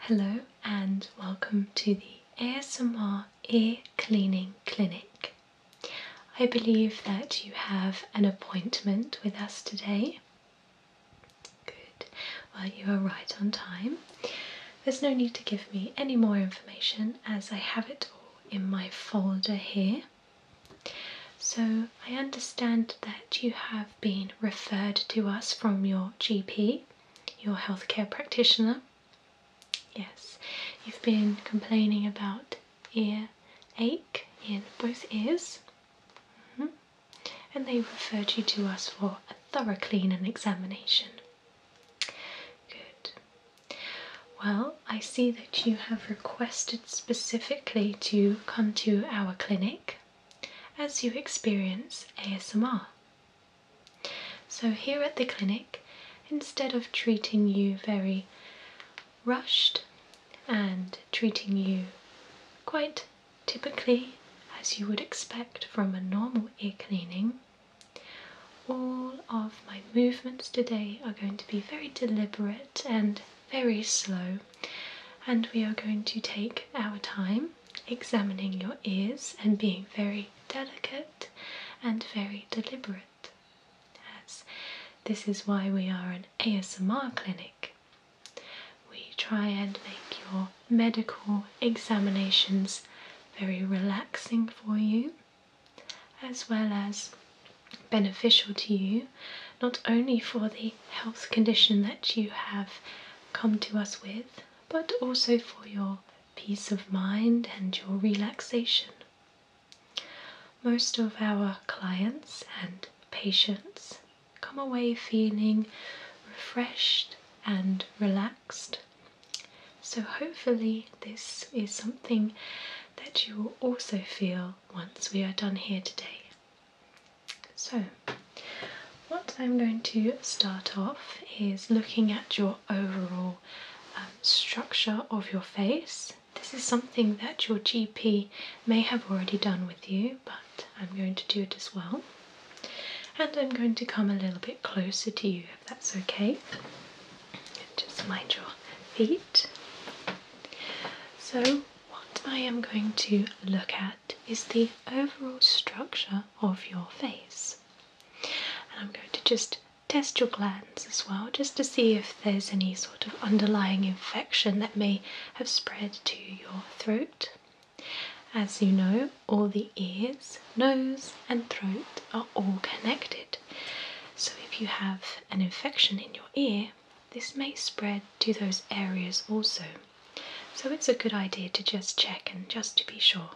Hello and welcome to the ASMR Ear Cleaning Clinic. I believe that you have an appointment with us today. Good, well, you are right on time. There's no need to give me any more information as I have it all in my folder here. So, I understand that you have been referred to us from your GP your healthcare practitioner. Yes, you've been complaining about ear ache in both ears, mm-hmm. and they referred you to us for a thorough clean and examination. Good. Well, I see that you have requested specifically to come to our clinic as you experience ASMR. So, here at the clinic, instead of treating you very rushed and treating you quite typically as you would expect from a normal ear cleaning, all of my movements today are going to be very deliberate and very slow, and we are going to take our time examining your ears and being very delicate and very deliberate. As this is why we are an ASMR clinic. We try and make your medical examinations very relaxing for you as well as beneficial to you, not only for the health condition that you have come to us with, but also for your peace of mind and your relaxation. Most of our clients and patients come away feeling refreshed and relaxed. So, hopefully, this is something that you will also feel once we are done here today. So, what I'm going to start off is looking at your overall um, structure of your face. This is something that your GP may have already done with you, but I'm going to do it as well. And I'm going to come a little bit closer to you if that's okay. Just mind your feet. So, what I am going to look at is the overall structure of your face. And I'm going to just test your glands as well, just to see if there's any sort of underlying infection that may have spread to your throat. As you know, all the ears, nose, and throat are all connected. So if you have an infection in your ear, this may spread to those areas also. So it's a good idea to just check and just to be sure.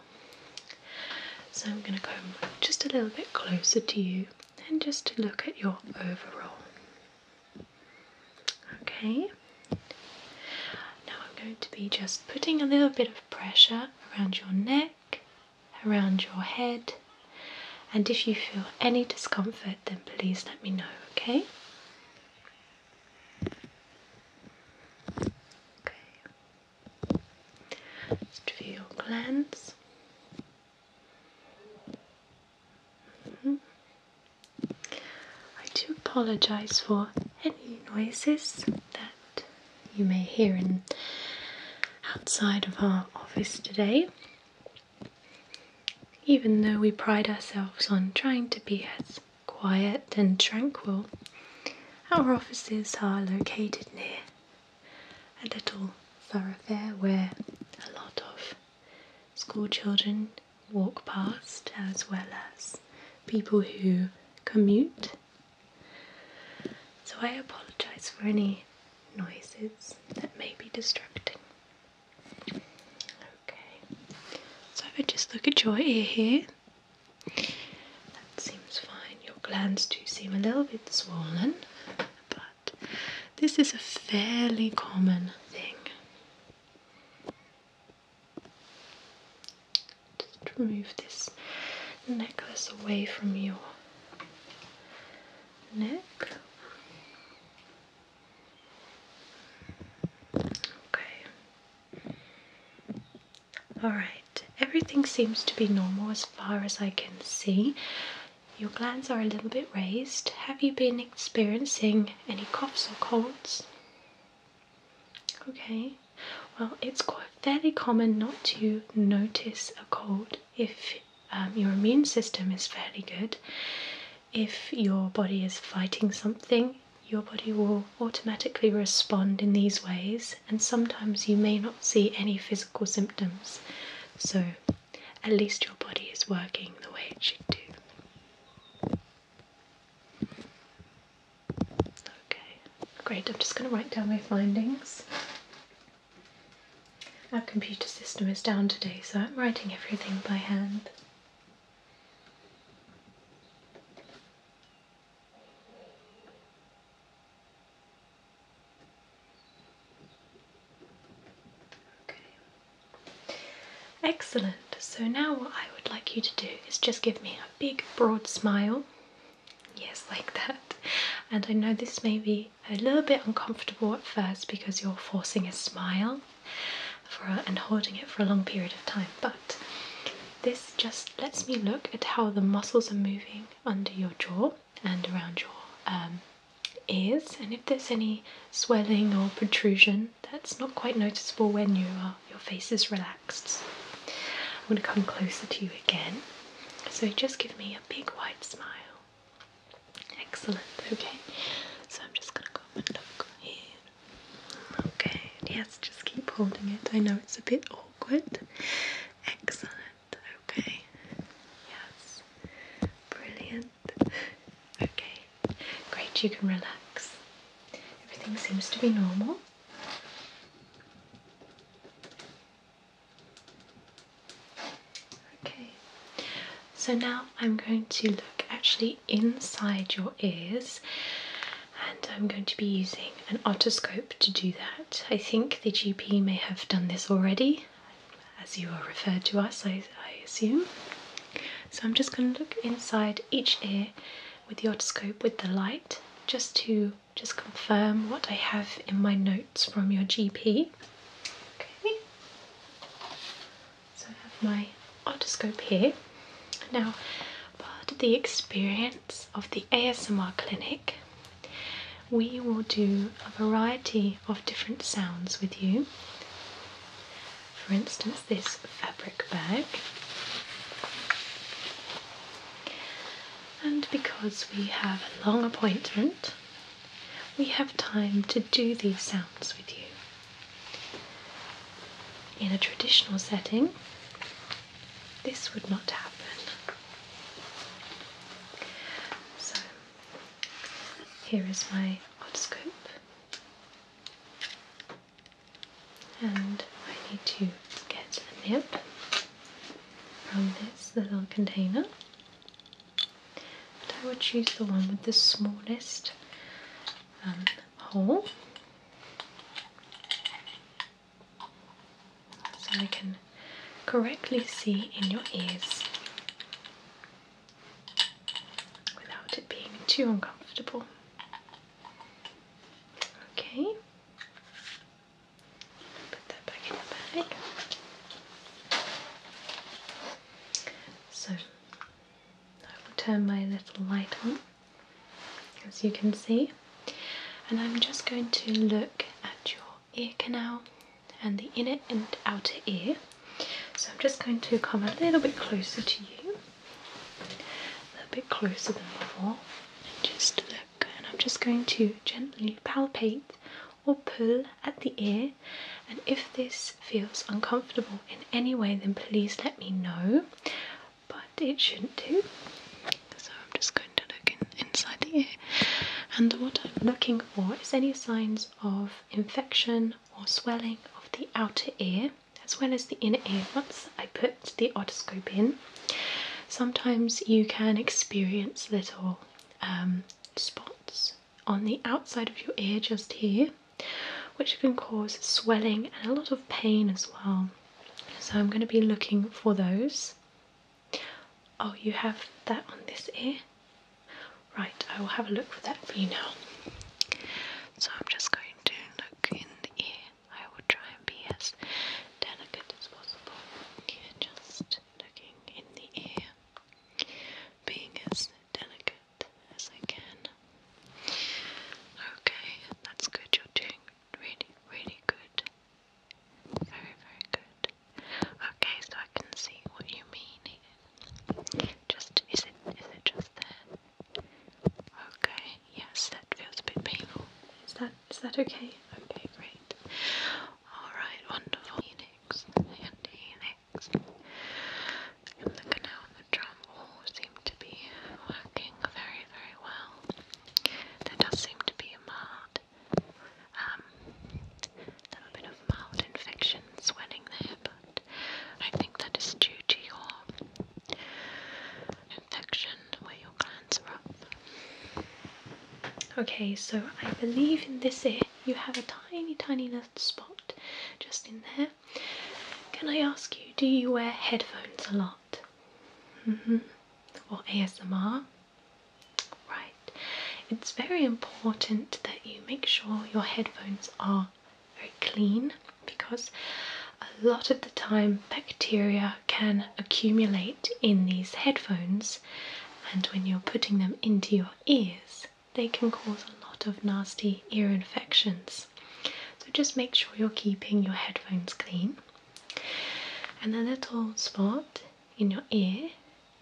So I'm going to come just a little bit closer to you and just to look at your overall. Okay. Now I'm going to be just putting a little bit of pressure around your neck, around your head, and if you feel any discomfort, then please let me know, okay? Okay. Just for your cleanse. Mm-hmm. I do apologise for any noises that you may hear in outside of our office today. Even though we pride ourselves on trying to be as quiet and tranquil. Our offices are located near a little thoroughfare where a lot of school children walk past, as well as people who commute. So I apologise for any noises that may be distracting. Okay, so if I just look at your ear here, that seems fine. Your glands do seem a little bit swollen, but this is a fairly common thing. Just remove this necklace away from your neck. Okay. Alright, everything seems to be normal as far as I can see. Your glands are a little bit raised. Have you been experiencing any coughs or colds? Okay, well, it's quite fairly common not to notice a cold if um, your immune system is fairly good if your body is fighting something, your body will automatically respond in these ways, and sometimes you may not see any physical symptoms. So, at least your body is working the way it should do. Okay, great. I'm just going to write down my findings. Our computer system is down today, so I'm writing everything by hand. Excellent. So now what I would like you to do is just give me a big broad smile. Yes, like that. And I know this may be a little bit uncomfortable at first because you're forcing a smile for uh, and holding it for a long period of time. But this just lets me look at how the muscles are moving under your jaw and around your um, ears, and if there's any swelling or protrusion that's not quite noticeable when you your face is relaxed. I'm going to come closer to you again. So just give me a big wide smile. Excellent. Okay. So I'm just gonna go and look here. Okay. Yes. Just keep holding it. I know it's a bit awkward. Excellent. Okay. Yes. Brilliant. Okay. Great. You can relax. Everything seems to be normal. Okay. So now I'm going to look actually inside your ears and I'm going to be using an otoscope to do that. I think the GP may have done this already as you are referred to us, I, I assume. So I'm just going to look inside each ear with the otoscope with the light just to just confirm what I have in my notes from your GP. Okay. So I have my otoscope here. Now, part of the experience of the ASMR clinic, we will do a variety of different sounds with you. For instance, this fabric bag. And because we have a long appointment, we have time to do these sounds with you. In a traditional setting, this would not happen. So, here is my odd scope, and I need to get a nib from this little container. I would choose the one with the smallest um, hole so I can correctly see in your ears without it being too uncomfortable. Okay, put that back in the bag. So I will turn my little light on, as you can see, and I'm just going to look at your ear canal and the inner and outer ear. So I'm just going to come a little bit closer to you, a little bit closer than before, and just look. And I'm just going to gently palpate or pull at the ear and if this feels uncomfortable in any way, then please let me know. But it shouldn't do. So I'm just going to look inside the ear. And what I'm looking for is any signs of infection or swelling of the outer ear as well as the inner ear once I put the otoscope in. Sometimes you can experience little um, spots on the outside of your ear just here, which can cause swelling and a lot of pain as well. So I'm going to be looking for those. Oh, you have that on this ear? Right, I will have a look for that for you now. So I'm just going to look in the ear. I will try and be as delicate as possible. just looking in the ear, being as delicate as I can. Okay, that's good. You're doing really, really good. Very, very good. Okay, so I can see what you mean Just, is it, is it just there? Okay, yes, that feels a bit painful. Is that, is that okay? Okay, great. Alright, wonderful. Helix and helix the canal and the drum all seem to be working very, very well. There does seem to be a mild, infection swelling there, but um, I think that is due to your infection where your glands are up. Okay, so I believe in this ear you have a tiny, tiny spot just in there. Can I ask you, do you wear headphones a lot? Mm-hmm. Or ASMR? Right. It's very important that you make sure your headphones are very clean because a lot of the time bacteria can accumulate in these headphones and when you're putting them into your ears they can cause a lot of nasty ear infections. So just make sure you're keeping your headphones clean. And the little spot in your ear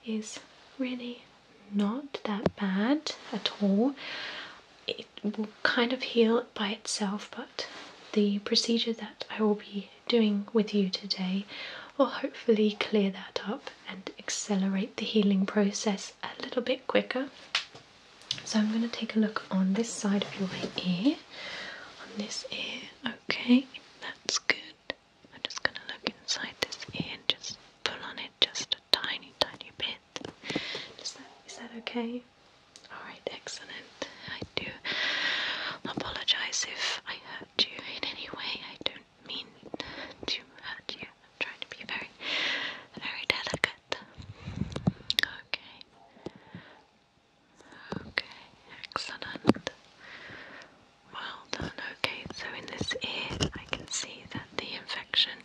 is really not that bad at all. It will kind of heal by itself, but the procedure that I will be doing with you today will hopefully clear that up and accelerate the healing process a little bit quicker. So, I'm going to take a look on this side of your ear, on this ear, okay, that's good. I'm just going to look inside this ear and just pull on it just a tiny, tiny bit. Is that okay? Alright, excellent. I do apologize if I hurt you in any way. I don't mean to hurt you. I'm trying to be very, very delicate. Okay. Okay, excellent. Well done. Okay, so in this ear, I can see that the infection,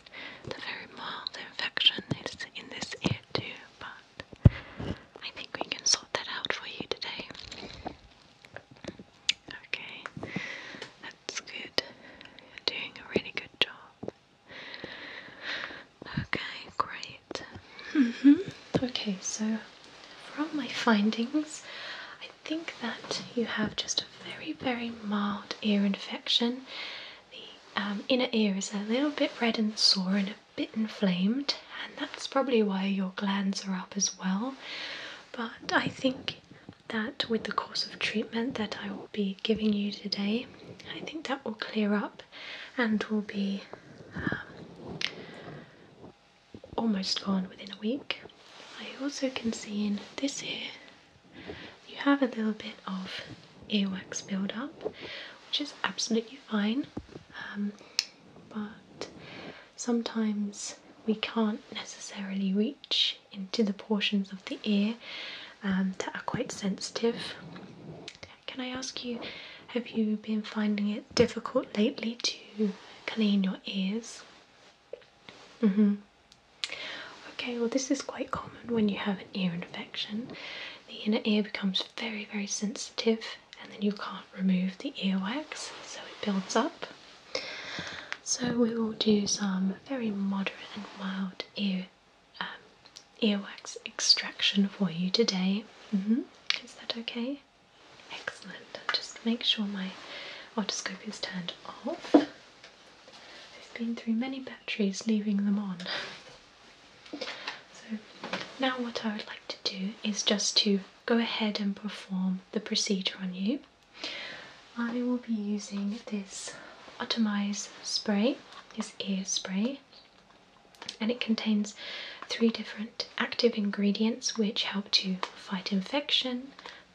the very mild infection, is in this ear too, but I think we can sort that out for you today. Okay, it's good. You're doing a really good job. Okay, great. Mm-hmm. Okay, so from my findings, I think that you have just a very, very mild ear infection. The um, inner ear is a little bit red and sore and a bit inflamed, and that's probably why your glands are up as well. But I think that with the course of treatment that I will be giving you today, I think that will clear up and will be um, almost gone within a week. I also can see in this here, you have a little bit of earwax buildup, which is absolutely fine, um, but sometimes we can't necessarily reach into the portions of the ear um, that are quite sensitive. Can I ask you, have you been finding it difficult lately to clean your ears? hmm Okay, well, this is quite common when you have an ear infection. The inner ear becomes very, very sensitive, and then you can't remove the earwax, so it builds up. So we will do some very moderate and mild ear um, earwax extraction for you today. Mm-hmm. Is that okay? Excellent. Just make sure my otoscope is turned off. I've been through many batteries leaving them on. So now what I would like to do is just to go ahead and perform the procedure on you. I will be using this Otomize spray, this ear spray, and it contains three different active ingredients which help to fight infection,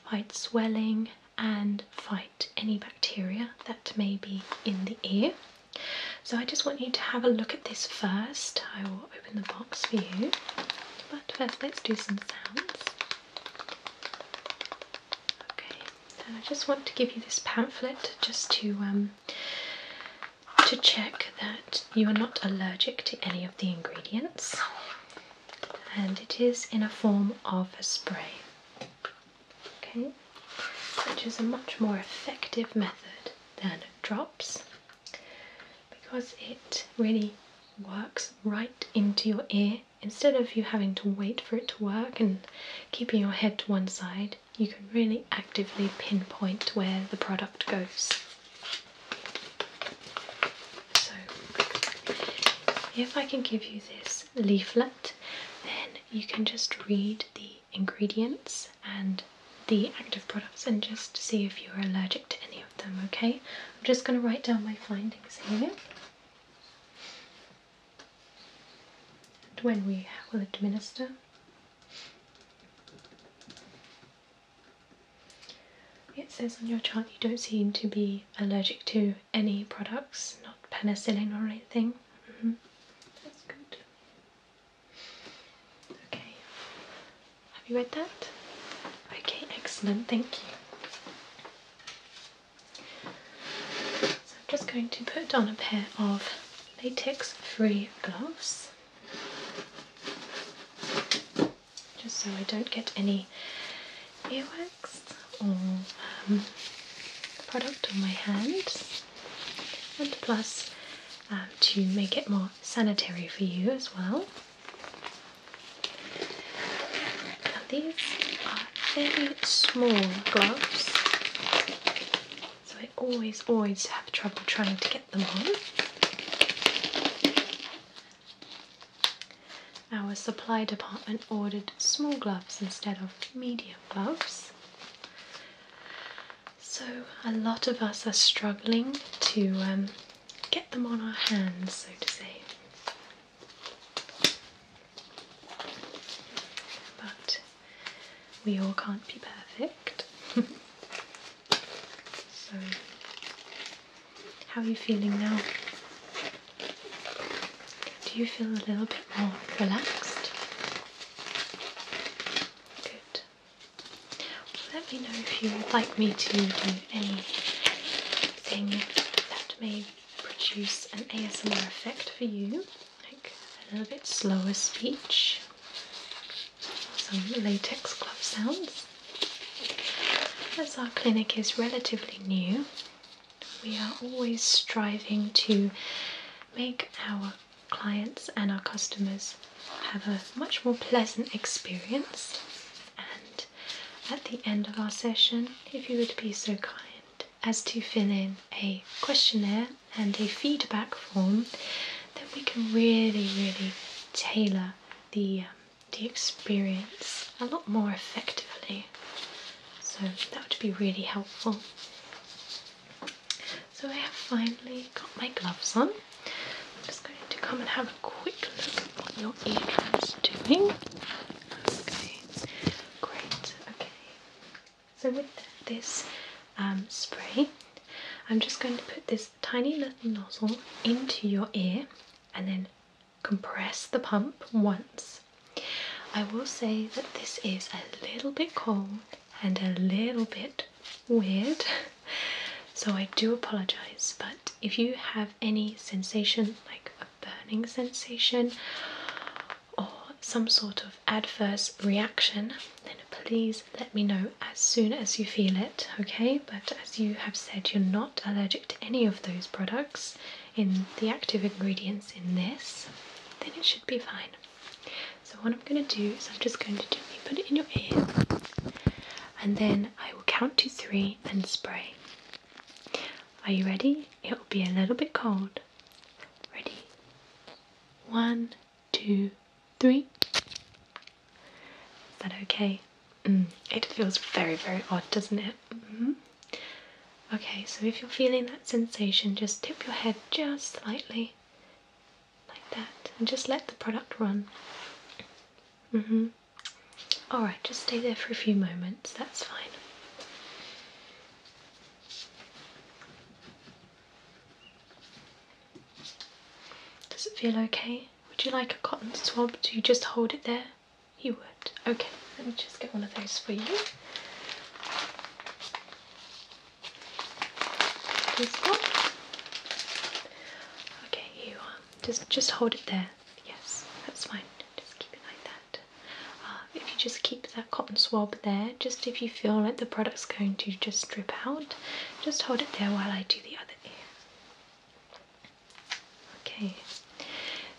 fight swelling, and fight any bacteria that may be in the ear. So I just want you to have a look at this first. I will open the box for you. But first, let's do some sounds. Okay, I just want to give you this pamphlet just to um, to check that you are not allergic to any of the ingredients, and it is in a form of a spray. Okay, which is a much more effective method than drops because it really works right into your ear. Instead of you having to wait for it to work and keeping your head to one side, you can really actively pinpoint where the product goes. So, if I can give you this leaflet, then you can just read the ingredients and the active products and just see if you're allergic any of them, okay? I'm just going to write down my findings here. And when we will administer, it says on your chart you don't seem to be allergic to any products, not penicillin or anything. Mm-hmm. That's good. Okay, have you read that? Okay, excellent, thank you. So I'm just going to put on a pair of latex free gloves just so I don't get any earwax or um, product on my hands and plus um, to make it more sanitary for you as well these are very small gloves, so I always, always have trouble trying to get them on. Our supply department ordered small gloves instead of medium gloves. So, a lot of us are struggling to um, get them on our hands, so to say. But we all can't be perfect. so, how are you feeling now? Do you feel a little bit more relaxed? Good. Let me know if you would like me to do anything that may produce an ASMR effect for you, like a little bit slower speech, some latex glove sounds. As our clinic is relatively new, we are always striving to make our clients and our customers have a much more pleasant experience and at the end of our session, if you would be so kind as to fill in a questionnaire and a feedback form, then we can really, really tailor the, um, the experience a lot more effectively. So that would be really helpful. So I have finally got my gloves on. I'm just going to come and have a quick look at what your eardrum's doing. Okay, great. Okay, so with this um, spray, I'm just going to put this tiny little nozzle into your ear and then compress the pump once. I will say that this is a little bit cold and a little bit weird, so I do apologize. But if you have any sensation, like a burning sensation or some sort of adverse reaction, then please let me know as soon as you feel it, okay? But as you have said, you're not allergic to any of those products in the active ingredients in this, then it should be fine. So, what I'm going to do is I'm just going to gently put it in your ear and then I will count to three and spray. Are you ready? It will be a little bit cold. Ready? One, two, three. Is that okay? Mm, it feels very, very odd, doesn't it? Mm-hmm. Okay, so if you're feeling that sensation, just tip your head just slightly like that, and just let the product run. Mm-hmm. All right, just stay there for a few moments. That's fine. Does it feel okay? Would you like a cotton swab Do you just hold it there? You would. Okay, let me just get one of those for you. This one. Okay, you um, Just just hold it there. Yes, that's fine. Just keep it like that. Uh, if you just keep that cotton swab there, just if you feel like the product's going to just drip out, just hold it there while I do the other ear. Okay,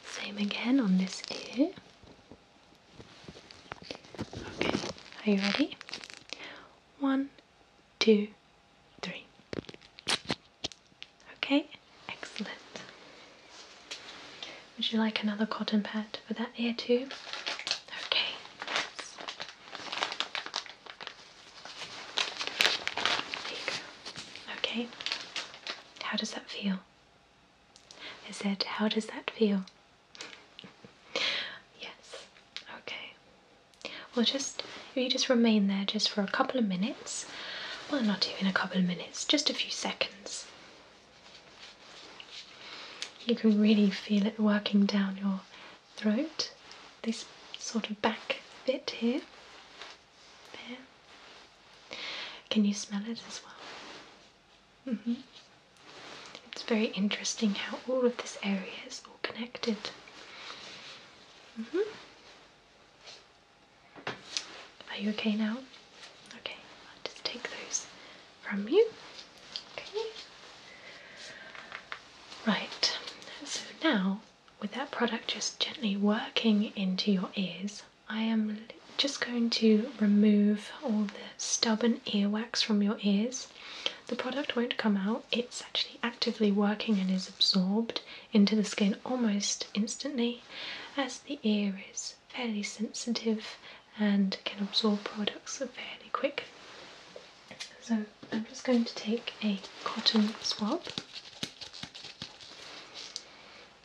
same again on this ear. Okay, are you ready? One, two, three. Okay, excellent. Would you like another cotton pad for that ear too? Okay. There you go. Okay. How does that feel? I said, how does that feel? yes. Okay. Well, just if you just remain there just for a couple of minutes, well, not even a couple of minutes, just a few seconds. You can really feel it working down your throat, this sort of back bit here. There. Can you smell it as well? hmm It's very interesting how all of this area is connected. Mm-hmm. Are you okay now? Okay, i just take those from you. Okay. Right, so now with that product just gently working into your ears, I am just going to remove all the stubborn earwax from your ears the product won't come out, it's actually actively working and is absorbed into the skin almost instantly, as the ear is fairly sensitive and can absorb products fairly quick. So, I'm just going to take a cotton swab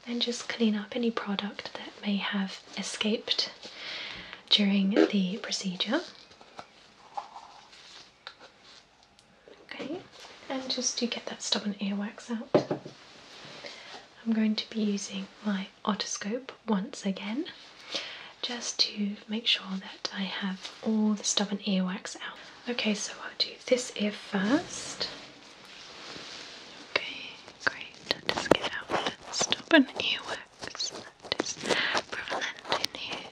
and just clean up any product that may have escaped during the procedure. Okay, and just to get that stubborn earwax out, I'm going to be using my otoscope once again just to make sure that I have all the stubborn earwax out. Okay, so I'll do this ear first. Okay, great. Just get out stubborn earwax that is prevalent in here.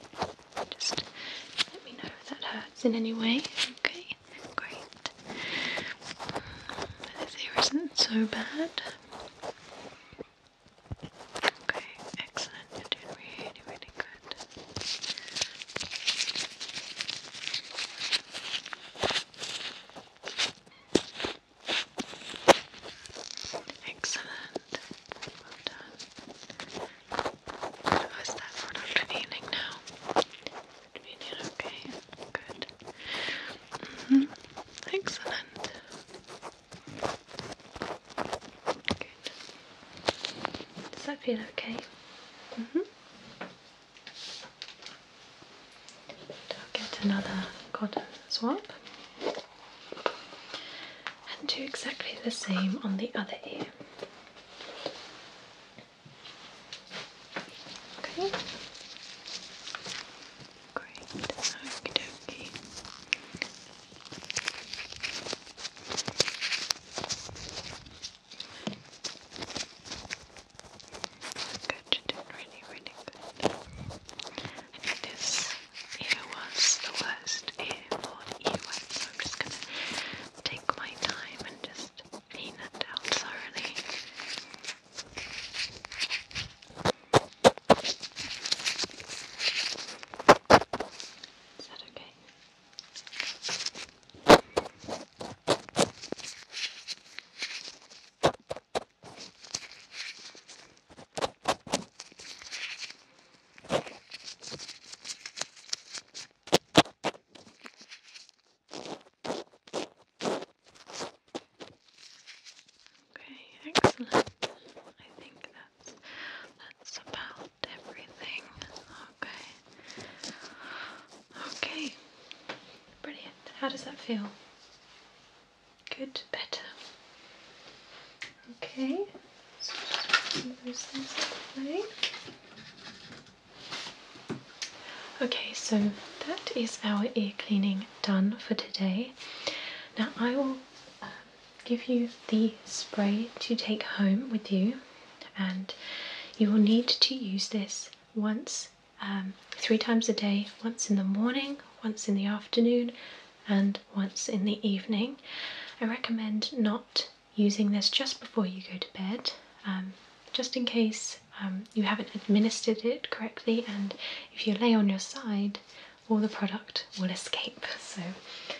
Just let me know if that hurts in any way. Okay, great. But this isn't so bad. Okay, excellent. You're doing really, really good. Excellent. Well that for Dr. Evening now? Evening, okay. Good. Excellent. Good. Does that feel okay? hmm get another cotton swab. Okay and do exactly the same on the other ear. Okay. Great. Okie dokie. Good, you did really, really good. I think was the worst ear for so I'm just gonna take my time and just clean it out thoroughly. Is that Okay, Okay, excellent. I think that's that's about everything. Okay. Okay. Brilliant. How does that feel? Good, better. Okay, so Okay, so that is our ear cleaning done for today. Now I will um, give you the spray to take home with you, and you will need to use this once, um, three times a day, once in the morning, once in the afternoon, and once in the evening. I recommend not using this just before you go to bed, um, just in case um, you haven't administered it correctly, and if you lay on your side, all the product will escape. So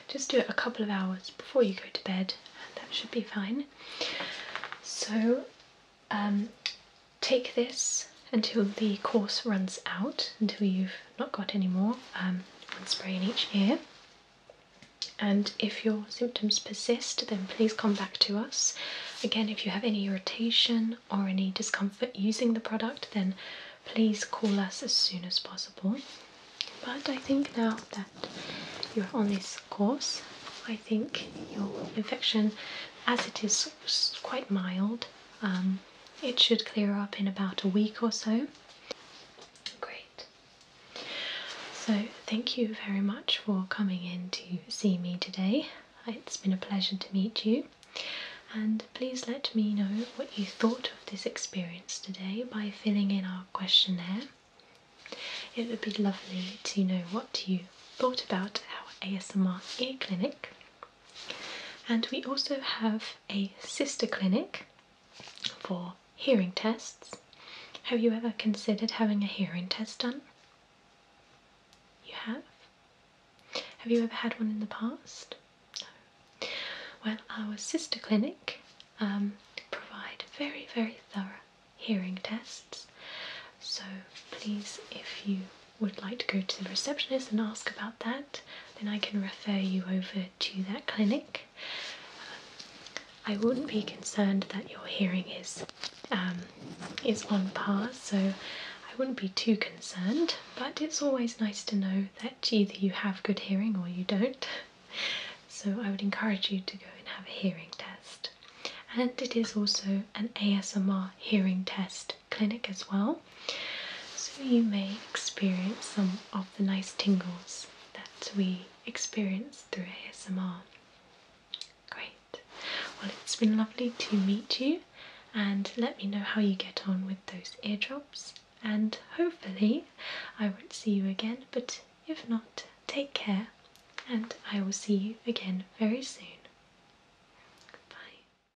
just do it a couple of hours before you go to bed, and that should be fine. So um, take this until the course runs out, until you've not got any more, um, one spray in each ear. And if your symptoms persist, then please come back to us. Again, if you have any irritation or any discomfort using the product, then please call us as soon as possible. But I think now that you're on this course, I think your infection, as it is quite mild, um, it should clear up in about a week or so. Great. So, thank you very much for coming in to see me today. It's been a pleasure to meet you. And please let me know what you thought of this experience today by filling in our questionnaire. It would be lovely to know what you thought about our ASMR ear clinic. And we also have a sister clinic for hearing tests. Have you ever considered having a hearing test done? You have? Have you ever had one in the past? No. Well, our sister clinic um, provide very, very thorough hearing tests. So please, if you would like to go to the receptionist and ask about that, then I can refer you over to that clinic. I wouldn't be concerned that your hearing is um, is on par, so I wouldn't be too concerned. But it's always nice to know that either you have good hearing or you don't. So I would encourage you to go and have a hearing test. And it is also an ASMR hearing test clinic as well. So you may experience some of the nice tingles that we experience through ASMR. Great. Well, it's been lovely to meet you and let me know how you get on with those eardrops. And hopefully, I won't see you again, but if not, take care and I will see you again very soon. Bye.